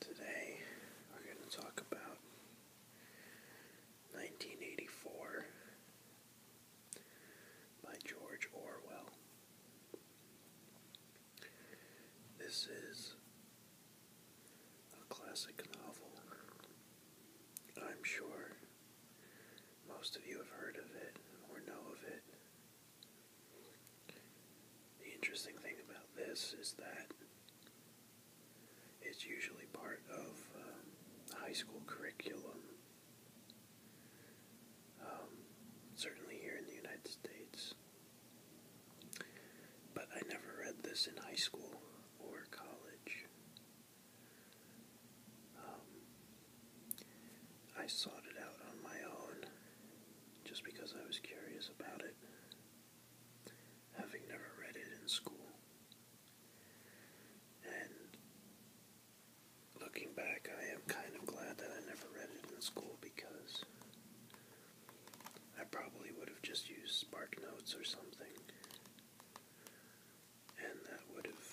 Today we're going to talk about 1984 by George Orwell. This is a classic novel. I'm sure most of you have heard of it or know of it. The interesting thing about this is that it's usually part of uh, high school curriculum. Um, certainly here in the United States. But I never read this in high school or college. Um, I sought it out on my own just because I was curious about it having never read it in school. And looking back, I am kind of glad that I never read it in school because I probably would have just used Spark Notes or something. And that would have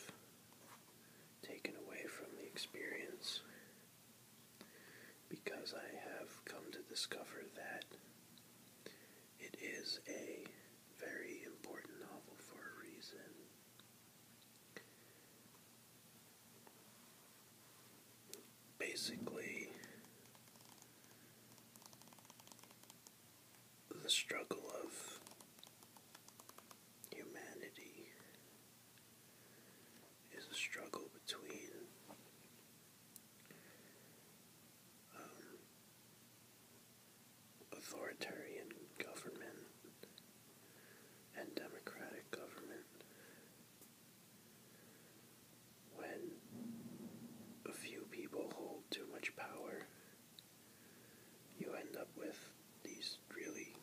taken away from the experience because I have come to discover that it is a very important novel for a reason. Basically, the struggle of humanity is a struggle between um, authoritarian government and democratic government when a few people hold too much power you end up with these really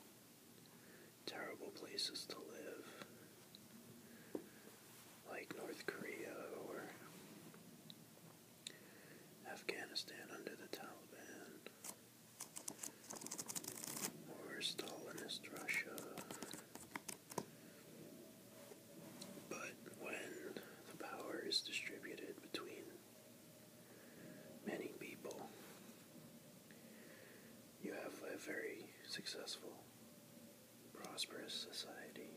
terrible places to live, like North Korea or Afghanistan under the Taliban, or Stalinist Russia. But when the power is distributed between many people, you have a very successful, prosperous society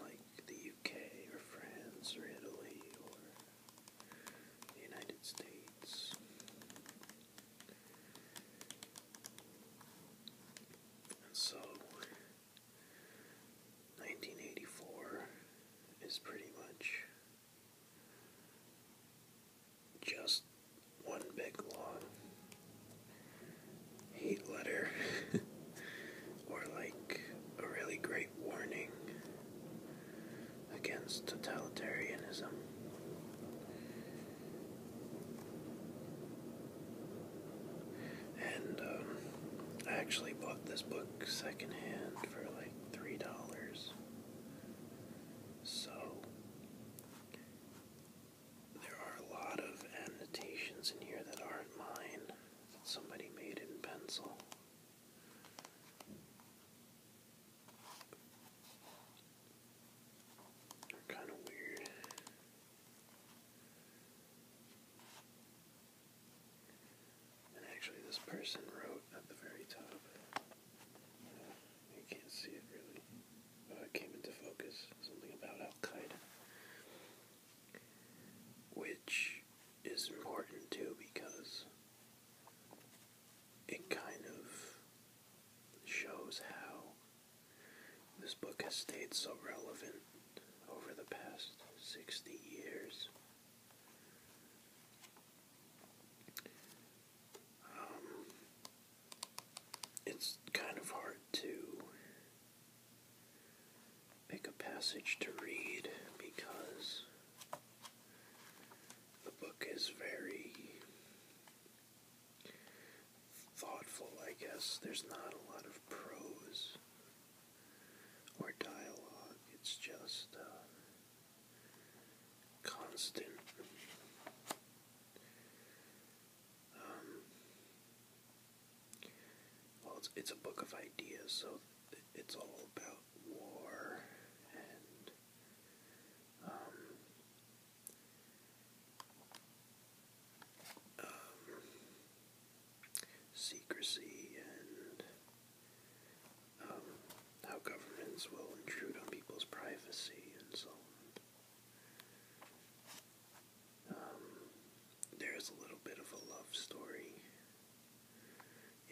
like the UK or France or Italy or the United States. And so 1984 is pretty much just one big long hate letter or like a really great warning against totalitarianism. And um, I actually bought this book secondhand for like three dollars. So, there are a lot of annotations in here that aren't mine, somebody made in pencil. They're kind of weird. And actually, this person wrote at the very top. you can't see it really, but it came into focus. Something about Al Qaeda, which is important too because it kind of shows how this book has stayed so relevant over the past 60 years um, it's kind of hard to pick a passage to read because the book is very thoughtful, I guess. There's not a lot of prose or dialogue, it's just. Uh, constant. Um, well, it's, a book of ideas, so it's all about war and um, um, secrecy and um, how governments will intrude on people's privacy and so on. Um, there is a little bit of a love story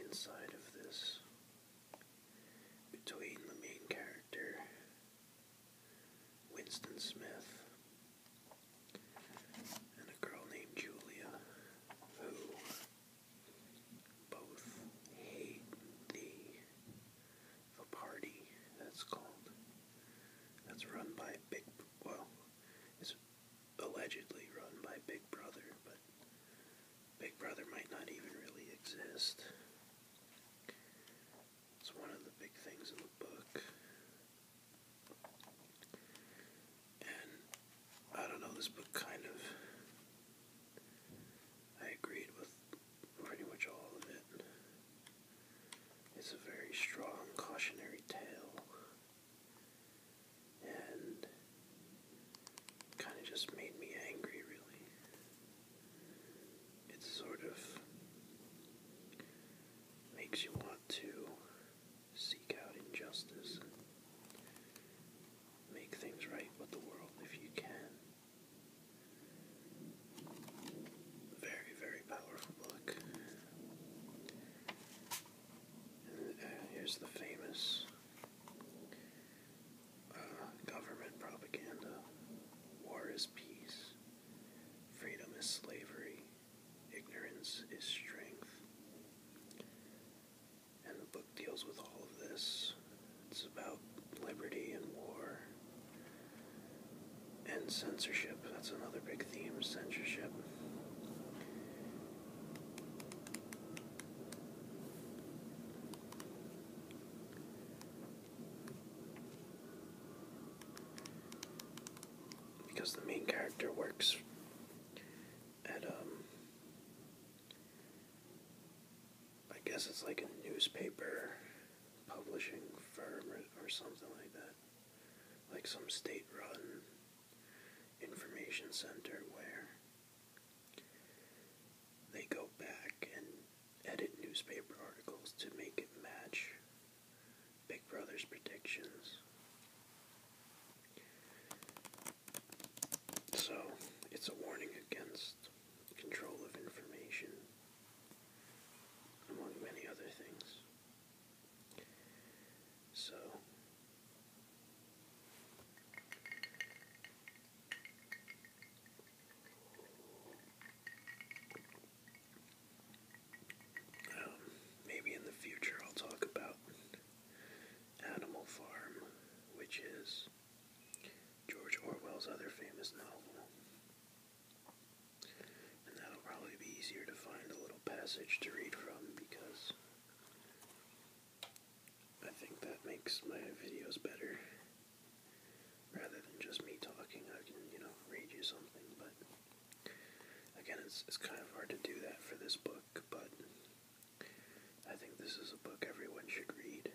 inside of this between the main character, Winston Smith, and a girl named Julia, who both hate the the party that's called that's run by Big well, it's allegedly run by Big Brother, but Big Brother might not even really exist. It's one of the big things in the book. I don't know, this book kind of. I agreed with pretty much all of it. It's a very strong cautionary tale. And kind of just made me angry, really. It sort of makes you want to seek out injustice, make things right with the world if you can. Very, very powerful book. Uh, here's the famous uh, government propaganda War is peace, freedom is slavery, ignorance is strength. And the book deals with all of this. It's about liberty and war and censorship. That's another big theme censorship. Because the main character works at um I guess it's like a newspaper publishing firm or, or something like that. Like some state run information center where they go back and edit newspaper articles to make it match Big Brother's predictions. So, it's a warning against control of information, among many other things. So, um, maybe in the future I'll talk about Animal Farm, which is George Orwell's other famous novel. And that'll probably be easier to find a little passage to read from because I think that makes my videos better. Rather than just me talking, I can, you know, read you something, but Again, it's, it's kind of hard to do that for this book, but I think this is a book everyone should read.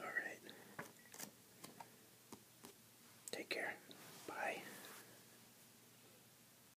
All right. Take care. Bye.